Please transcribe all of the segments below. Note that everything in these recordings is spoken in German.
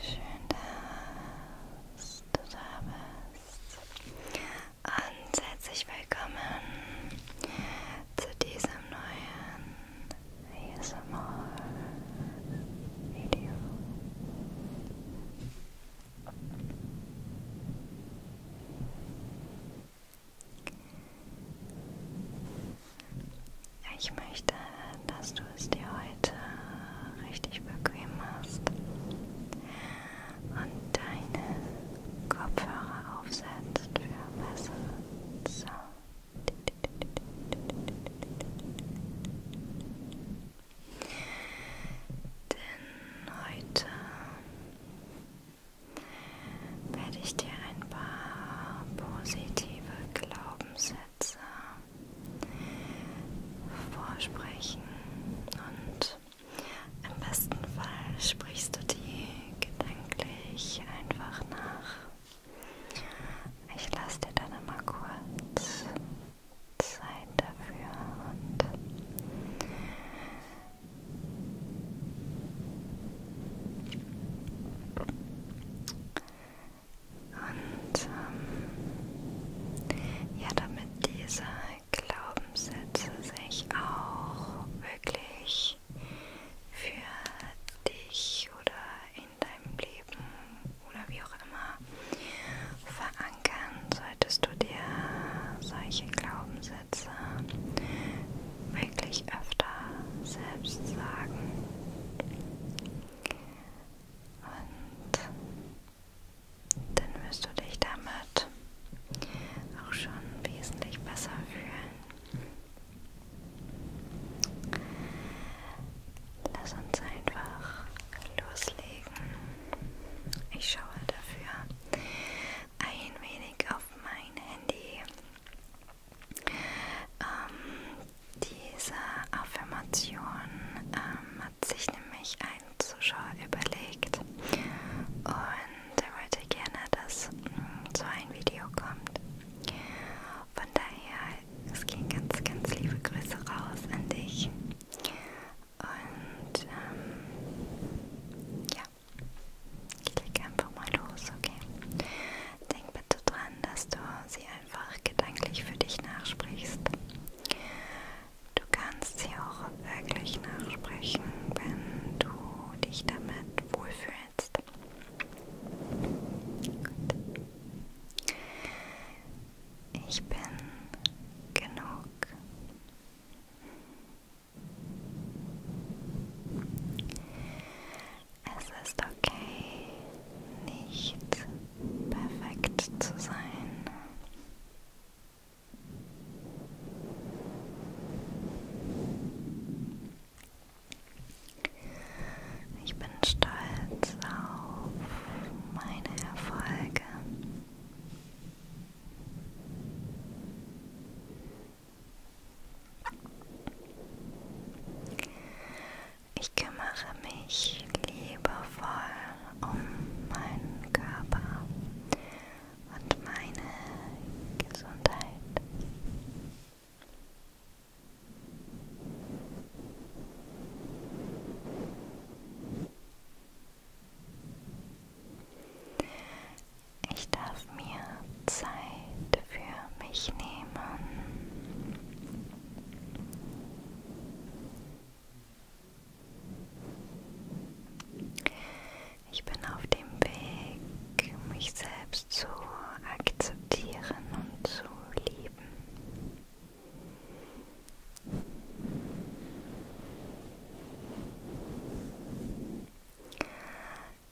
Schön, dass du da bist. und herzlich willkommen zu diesem neuen ASMR-Video. Ich möchte, dass du es dir heute richtig bequem machst und deine Kopfhörer aufsetzt für besseren Sound. Denn heute werde ich dir ein paar positive Glaubenssätze vorsprechen und im besten Fall sprichst du die gedanklich einfach nach. Ich lasse dir dann immer kurz Zeit dafür und und ähm, ja, damit diese Glaubenssätze sich auch wirklich für dich oder in deinem Leben oder wie auch immer verankern, solltest du dir solche Glaubenssätze wirklich öfter selbst sagen. Und dann wirst du dich damit auch schon wesentlich besser fühlen. Lass uns einfach loslegen. Ich schaue dafür ein wenig auf mein Handy. Ähm, diese Affirmation ähm, hat sich nämlich ein Zuschauer überlegt und er wollte gerne, dass hm, so ein Video kommt. Von daher, es ging ganz, ganz liebe Grüße raus an dich. Und ähm, ja, klick einfach mal los, okay? Denk bitte dran, dass du sie einfach gedanklich für dich nachsprichst. Du kannst sie auch wirklich nachsprechen, wenn du dich damit wohlfühlst. Gut. Ich bin genug. Es ist okay, nicht perfekt zu sein. Ich bin stolz auf meine Erfolge. Ich kümmere mich liebevoll um meinen Körper und meine Gesundheit. Ich darf mir Zeit für mich nehmen. Ich bin auf dem Weg, mich selbst zu akzeptieren und zu lieben.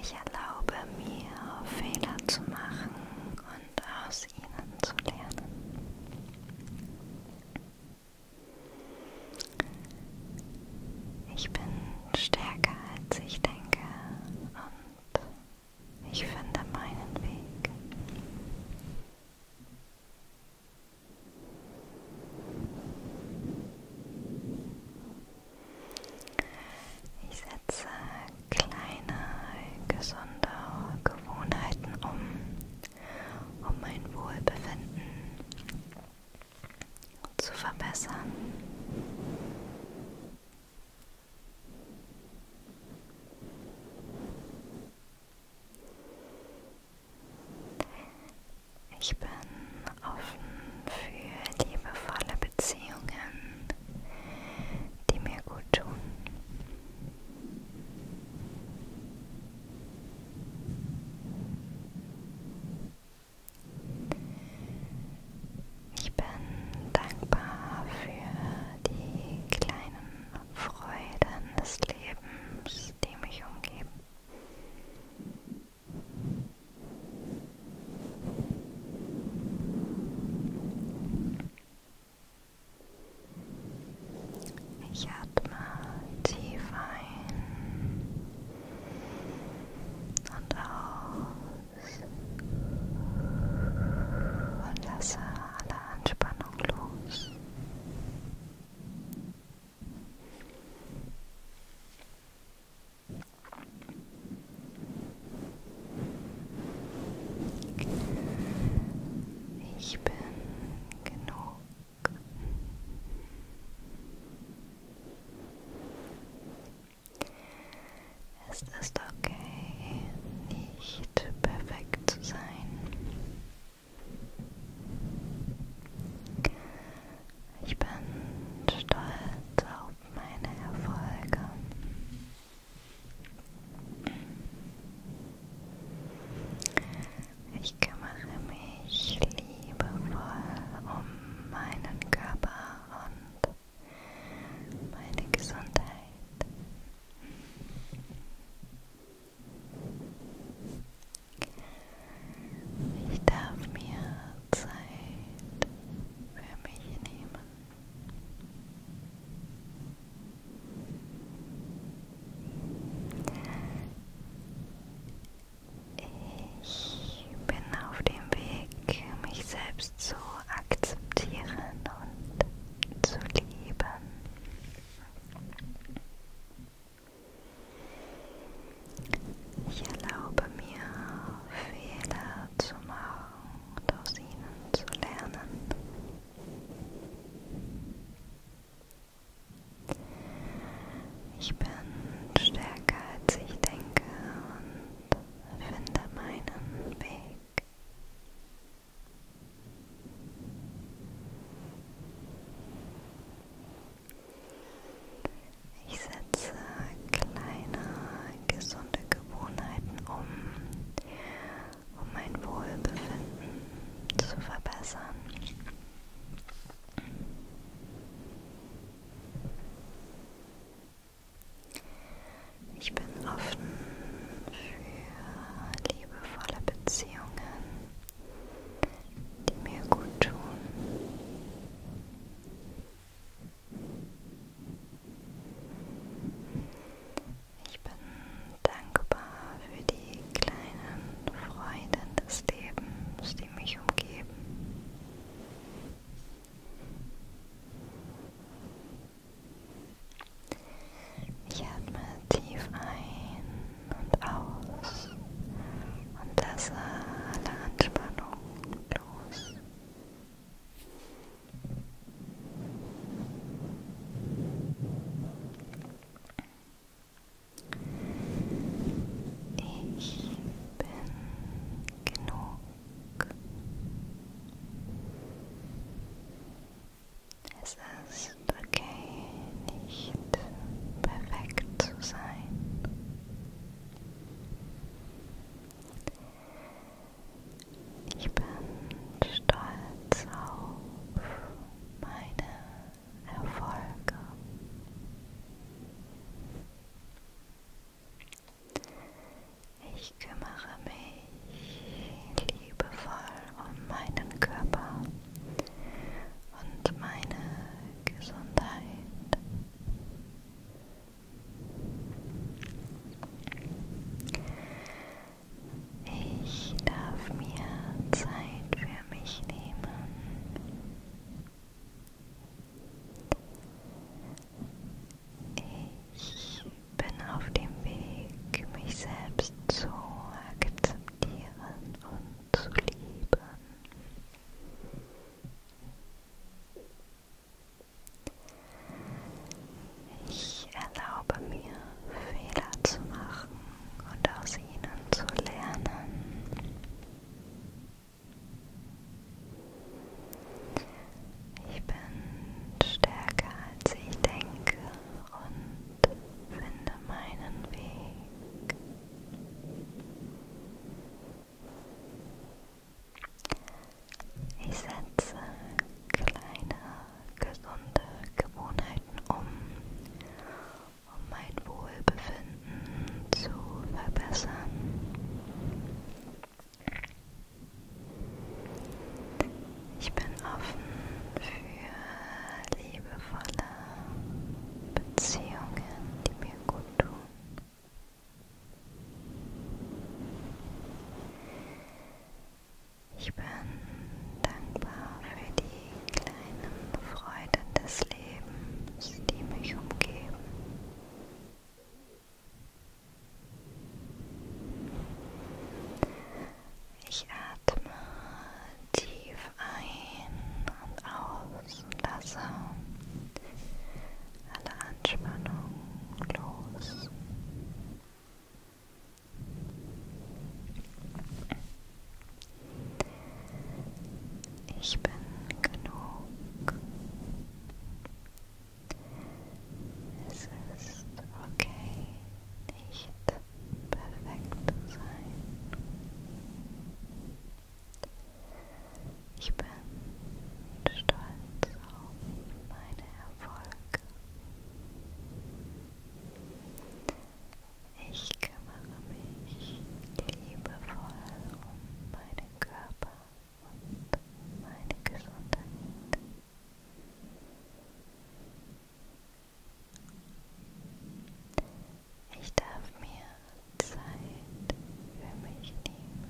Ich erlaube mir, Fehler zu machen und aus ihnen zu lernen. Ich bin stärker als ich denke und ich finde meinen Weg. Ich setze kleine, gesunde Gewohnheiten um, um mein Wohlbefinden zu verbessern. Ich bin offen für liebevolle Beziehungen, die mir gut tun. Ich bin dankbar für die kleinen Freuden des Lebens, die mich umgeben. Ich atme tief ein und aus und lasse alle Anspannung los. Ich bin genug. Es ist okay, nicht perfekt zu sein. Ich bin stolz auf meine Erfolge. Ich kümmere mich liebevoll um meinen Körper und meine Gesundheit. Ich darf mir Zeit für mich nehmen. Ich bin auf dem Weg, mich selbst zu akzeptieren und zu lieben. Ich erlaube mir, Fehler zu machen und aus ihnen zu lernen. Ich bin stärker als ich denke und finde meinen Weg. Ich setze kleine gesunde Gewohnheiten um, um mein Wohlbefinden zu verbessern. Ich bin offen für liebevolle Beziehungen, die mir gut tun. Ich bin dankbar für die kleinen Freuden des Lebens, die mich umgeben. Ich atme tief ein und aus und lasse alle Anspannung los. Ich bin genug. Es ist okay, nicht perfekt zu sein. Ich bin stolz auf meine Erfolge. Ich kümmere mich liebevoll um meinen Körper und meine Gesundheit. Ich darf mir Zeit für mich nehmen. Ich bin auf dem Weg, mich selbst zu akzeptieren und zu lieben. Ich erlaube mir, Fehler zu machen und aus ihnen zu lernen. Ich bin stärker als ich denke und finde meinen Weg. Ich setze kleine, gesunde Gewohnheiten um, um mein Wohlbefinden zu verbessern. Ich bin offen für liebevolle Beziehungen, die mir gut tun. Ich bin dankbar für die kleinen Freuden des Lebens, die mich umgeben. Ich atme tief ein und aus und lasse alle Anspannung los. Ich bin genug. Es ist okay, nicht perfekt zu sein. Ich bin stolz auf meine Erfolge. Ich kümmere mich liebevoll um meinen Körper und meine Gesundheit. Ich darf mir Zeit für mich nehmen.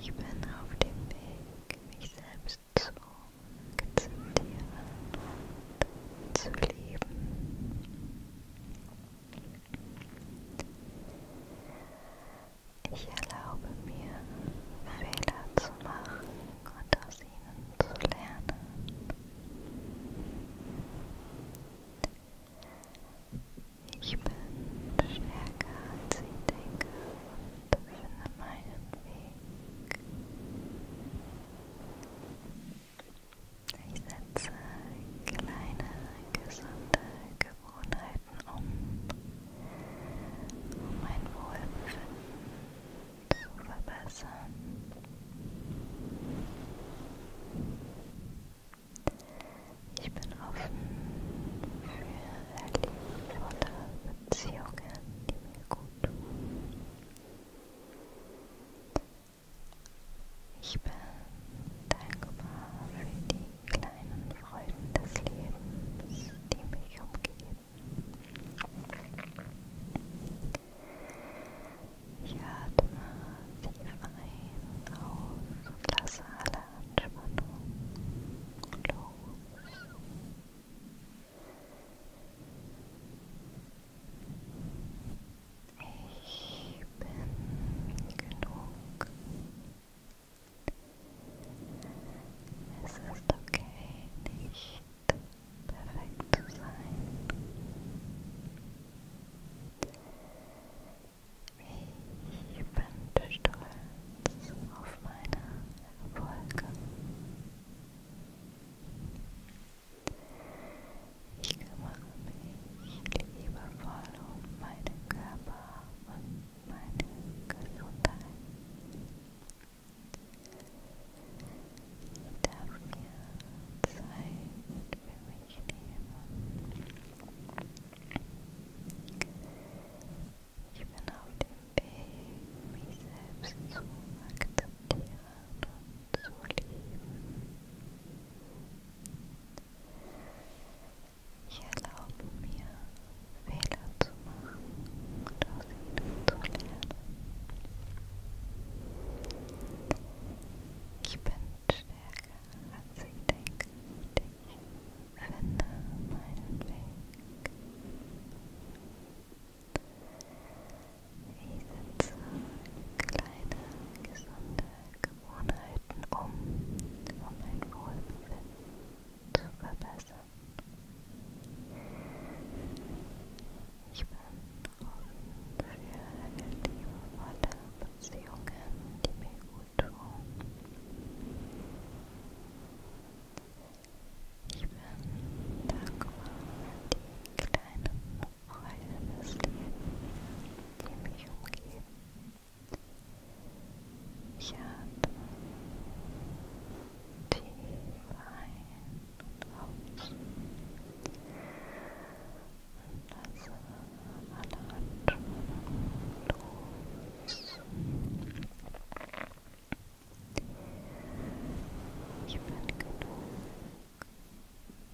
Ich bin auf dem Weg, mich selbst zu akzeptieren und zu lieben. Ich erlaube mir, Fehler zu machen und aus ihnen zu lernen. Ich bin stärker als ich denke und finde meinen Weg. Ich setze kleine gesunde Gewohnheiten um, um mein Wohlbefinden zu verbessern. Ich bin offen für liebevolle Beziehungen, die mir gut tun. Ich bin dankbar für die kleinen Freuden des Lebens, die mich umgeben. Ich atme tief ein, aus und lasse alle Anspannung los. Ich bin genug. Es ist okay, nicht perfekt zu sein. Ich bin stolz auf meine Erfolge. Ich kümmere mich liebevoll um meinen Körper und meine Gesundheit. Ich darf mir Zeit für mich nehmen. Ich bin auf dem Weg, mich selbst zu akzeptieren und zu lieben. Ich erlaube mir, Fehler zu machen und aus ihnen zu lernen. Ich bin stärker, als ich denke und ich finde meinen Weg setze kleine, gesunde Gewohnheiten um, um mein Wohlbefinden zu verbessern. Ich bin offen für liebevolle Beziehungen, die mir gut tun. Ich bin dankbar für die kleinen Freude des Lebens, die mich umgeben. Ich atme tief ein und aus und lasse alle Anspannung los. Ich bin genug. Ich bin genug.